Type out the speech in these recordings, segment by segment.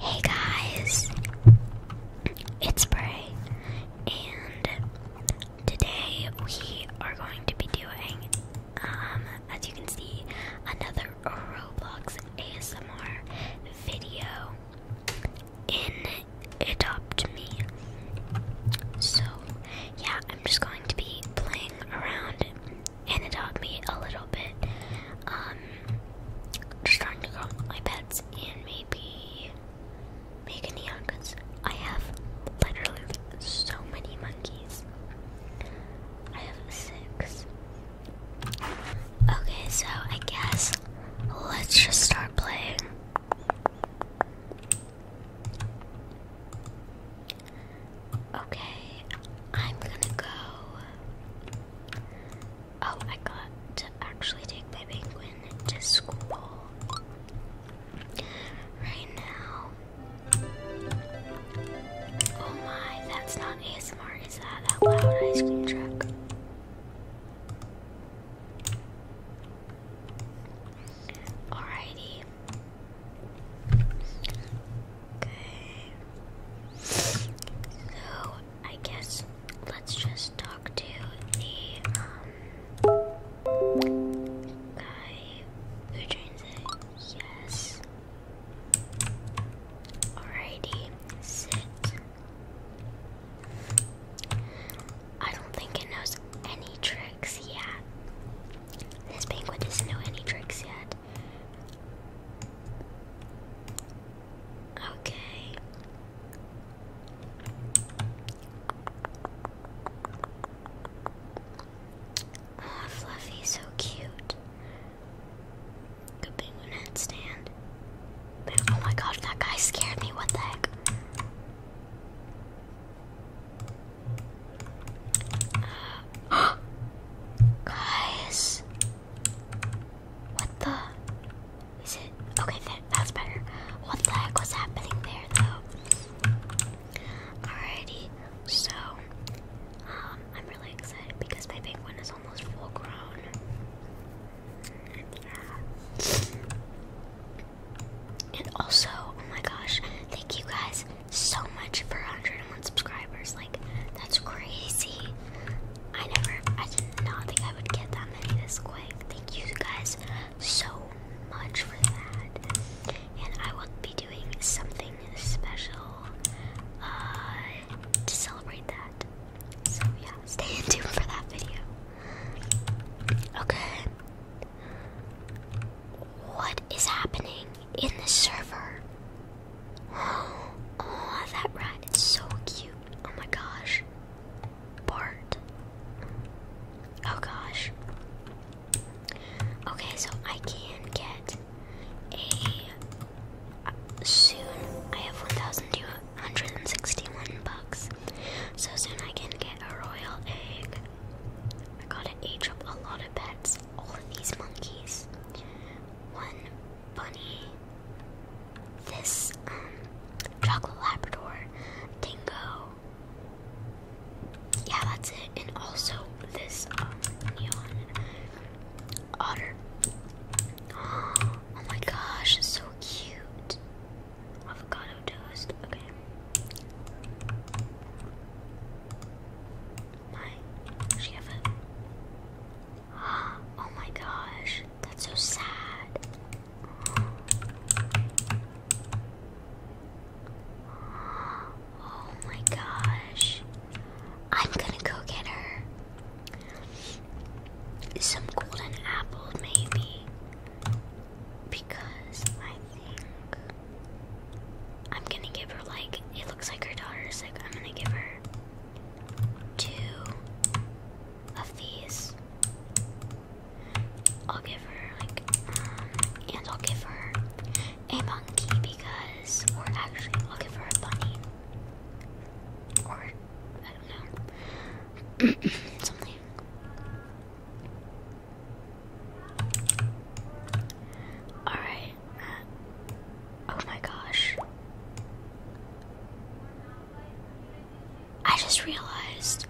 Hey guys, it's Bray, and today we are going to be doing, um, as you can see, another Roblox ASMR video in Adopt Me. So, yeah, I'm just going to be playing around and Adopt Me a little bit. Um, just trying to calm my pets and maybe make a neon because I have literally so many monkeys. I have six. Okay, so I guess let's just start playing. Okay, I'm gonna go. Oh, I got to actually take my penguin to school. Right now. Oh my, that's not ASMR, is that? That loud ice cream truck. Alrighty. Okay. So I guess let's just talk to the um, guy who trains it. Yes. Alrighty, sit. I don't think it knows any tricks yet. This penguin doesn't know any tricks yet. Okay. Oh, Fluffy, so cute. Good penguin headstand. Oh my god, that guy scared me. What the heck? guys, what the? Is it? Okay, that's better. What the heck was happening there, though? Alrighty, so um, I'm really excited because my penguin is almost full grown. And also, oh my gosh, thank you guys so much for 100 101 subscribers. Like, that's crazy. I never, I did not think I would get that many this quick. Thank you guys so much for that. And I will be doing something special uh, to celebrate that. So, yeah, stay in tune for that video. Okay. What is happening in the server? Oh, that rat is so cute. Oh my gosh. Bart. Oh gosh. Okay, so I can get a soon. I have 1,261 bucks. So soon I can get a royal egg. I gotta age up a lot of pets. All of these monkeys one bunny, this um, chocolate Labrador, dingo. Yeah, that's it. And also this um, neon otter. Oh, my gosh, so cute. Avocado toast. Okay my. she have a. Oh my gosh. That's so sad. Oh my gosh. I'm gonna go get her some golden apple, maybe. Because I think I'm gonna give her like it looks like her daughter is like I'm gonna give her two of these. I'll give her like um, and I'll give her a monkey because we're actually I'll give her a bunny. Or I don't know. Something. Alright. Oh my gosh. I just realized.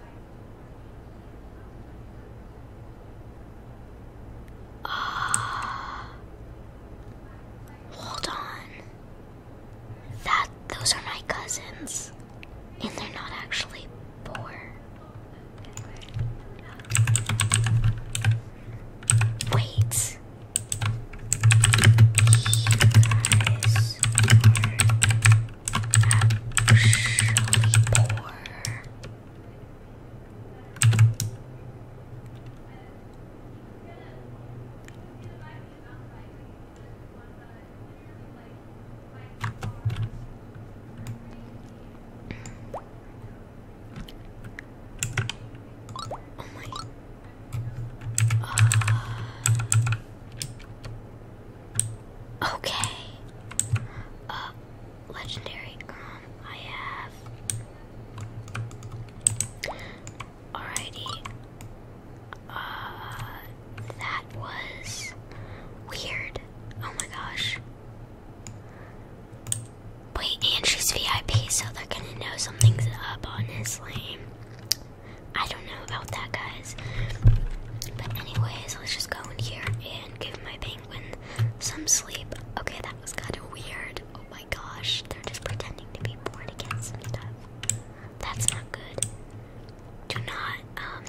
Ah. hold on. That those are my cousins. And they're not actually poor. Wait. You guys are actually poor. Oh my. okay. Uh, legendary. Um, I have. Alrighty. Uh, that was weird. Oh my gosh. Wait, and she's VIP, so they're gonna know something's up, honestly. I don't know about that, guys. But, anyways, let's just go in here and give my penguin some sleep. Okay, that was kind of weird. Oh my gosh, they're just pretending to be bored again and stuff. That's not good. Do not, um,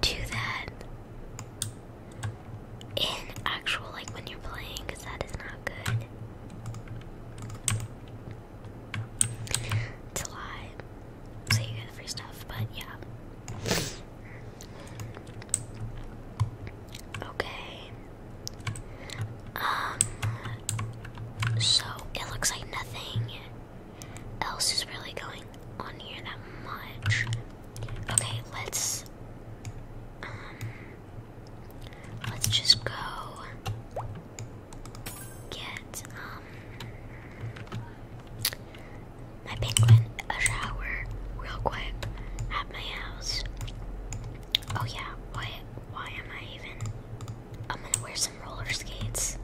do that in actual, like when you're playing, that is not good. To so you get free stuff, but yeah. Okay. Um. So it looks like nothing else is really going on here that much. Okay, let's um let's just go get um my penguin a shower real quick at my house. Oh yeah, why why am I even I'm gonna wear some roller skates.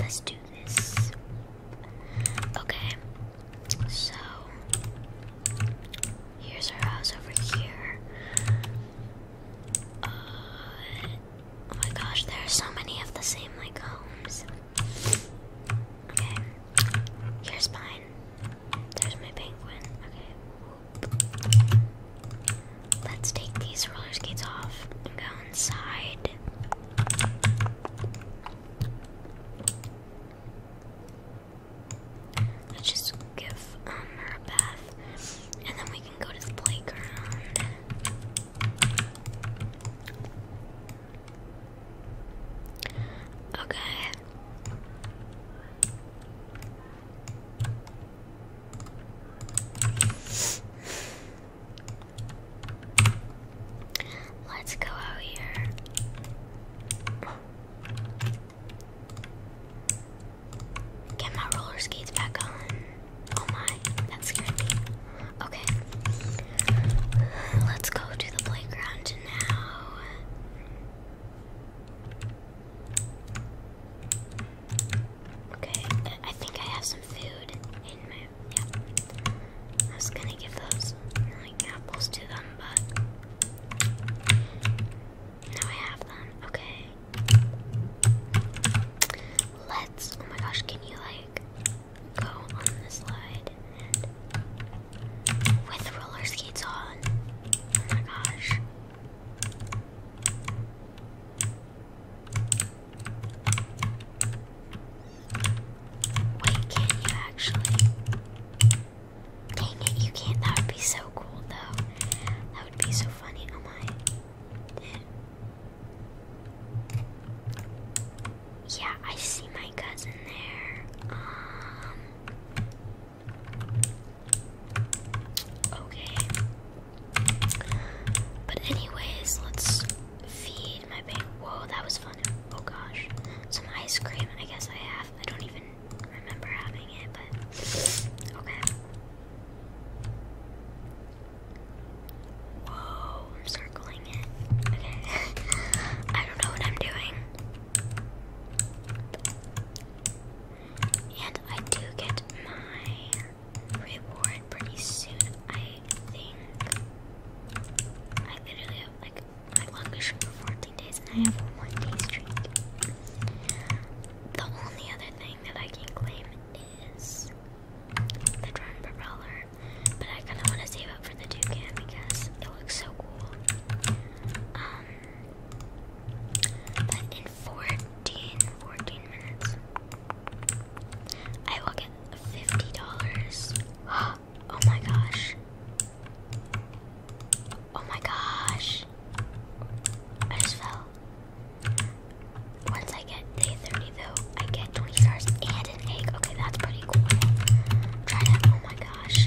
Let's do questions. Okay, so here's our house over here. Uh, oh my gosh, there are so many of the same like homes. Okay, here's mine. There's my penguin. Okay, let's take these roller skates off and go inside. Let's just give um, a bath, and then we can go to the playground. Okay. Let's go out here. Get my roller skates back on. Oh my, that scared me. Okay. Let's go to the playground now. Okay, I think I have some food in my yeah. I was gonna give those like apples to them, but now I have them. Okay. Let's. Oh my gosh, can you like go on this slide with roller skates on? Oh my gosh. Wait, can you actually? Dang it, you can't. That would be so cool, though. That would be so funny. Oh my. Yeah, I see my cousin there. Um. Okay. But anyways, let's feed my baby. Whoa, that was fun. Oh gosh. Some ice cream. I guess I have. I don't even remember having it, but okay. Whoa, I'm circling it. Okay. I don't know what I'm doing. And I do get my reward pretty soon, I think. I literally have like my longest streak for 14 days and I have one day streak. The only other thing that I can claim is the drone propeller, but I kind of want to save up for the toucan because it looks so cool. Um, but in 14, 14 minutes, I will get fifty dollars. Oh my gosh. Oh my gosh. I just fell. Once I get day 30 though, I get 20 stars and an egg. Okay, that's pretty cool. Try to oh my gosh.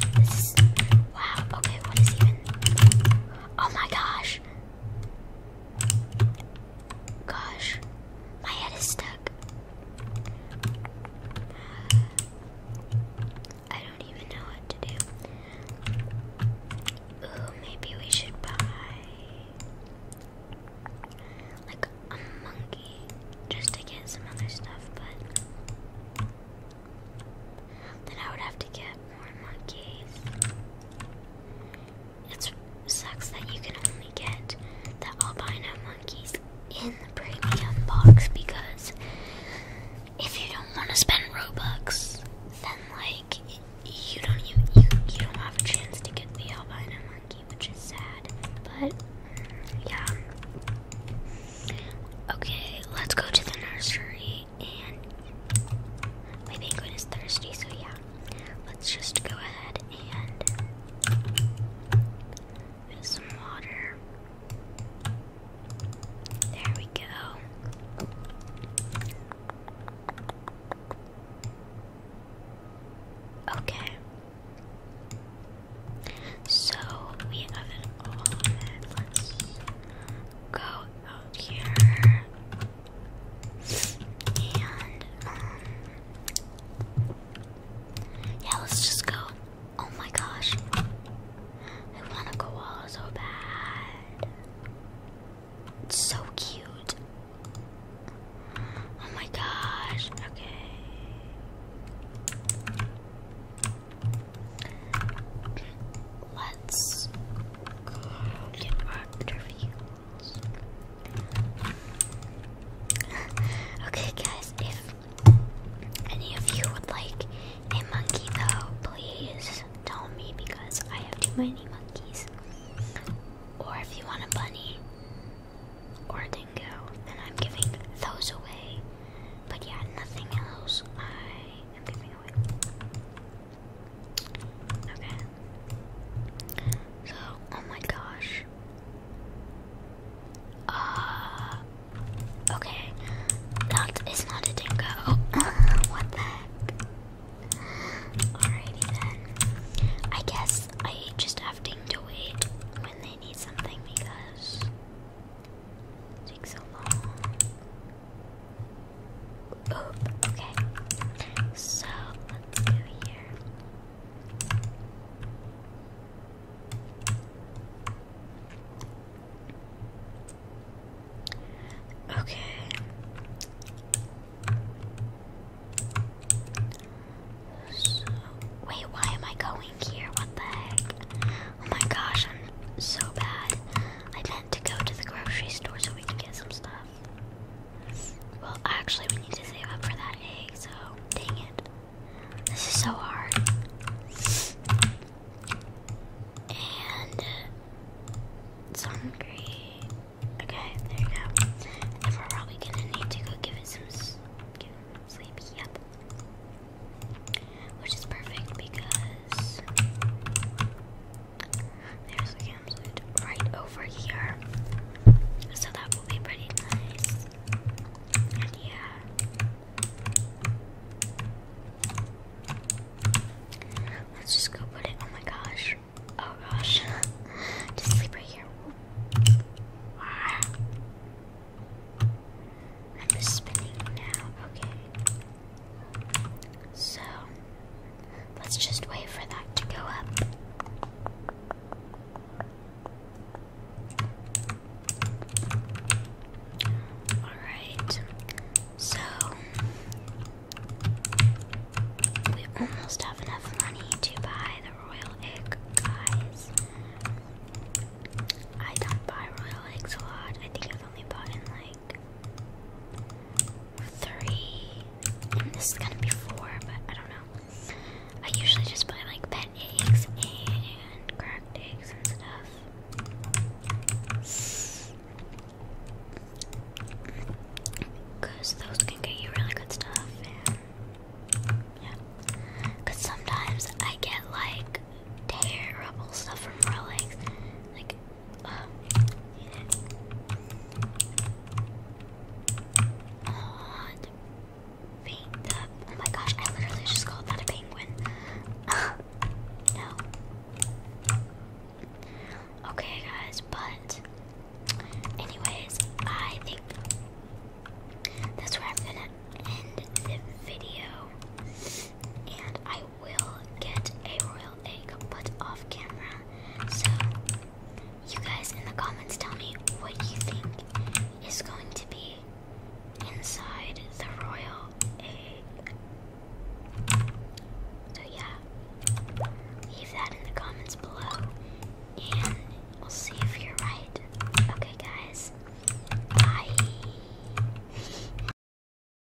wow, okay, what is even Oh my gosh. Gosh, my head is stuck. Uh, I don't even know what to do. Ooh, maybe we should buy like a monkey just to get some other stuff, but then I would have to get more monkeys. It sucks that you can only get the albino monkeys in the premium box because if you don't want to spend Robux, then like you don't you, you you don't have a chance to get the albino monkey, which is sad. But mm, yeah. Okay, let's go to the nursery and my penguin is thirsty, so yeah, let's just go ahead and get some water. There we go. Okay. So we have it all. let go um, yeah, let's just go. Oh my gosh. I want a koala so bad. It's so cute. Oh my gosh. Okay. Let's get our interview. okay, guys, if any of you would like a monkey, though, please tell me because I have too many monkeys. Or if you want a bunny or a dingo, then I'm giving those away. But yeah, nothing else I am giving away. Okay. So, oh my gosh. Uh, okay. That is not a dingo. what the heck? Alrighty then. I guess I just have to wait when they need something because it takes so long. Oh, okay. So let's go here. Okay. So, wait, why am I going here? What the heck? Oh my gosh, I'm so bad. I meant to go to the grocery store so we can get some stuff. Well, actually, we need to save up for that egg, so dang it. This is so hard. And it's uh, hungry. Okay, there you go. And we're probably gonna need to go give it some sleep. Yep. Which is perfect because there's the campsite right over here. So that will be pretty nice. And yeah. Let's just go put it. Oh my gosh. Oh gosh. just sleep right here. I'm just spinning now. Okay. So, Let's just wait for that to go up. Alright, so we almost have enough money to buy the royal egg, guys. I don't buy royal eggs a lot. I think I've only bought in like like three, and this is gonna be four, but I don't know. I usually just buy like pet eggs and cracked eggs and stuff. Because those can get you really good stuff, and sometimes I get like terrible stuff from Rolex. Like, Oh, my gosh, I literally just called that a penguin. no. Okay, guys, but anyways, I think that's where I'm gonna end the video. And I we will get a royal egg put off camera. So, you guys in the comments tell me what you think is going to be inside the royal egg. So, yeah, leave that in the comments below and we'll see if you're right. Okay, guys, bye.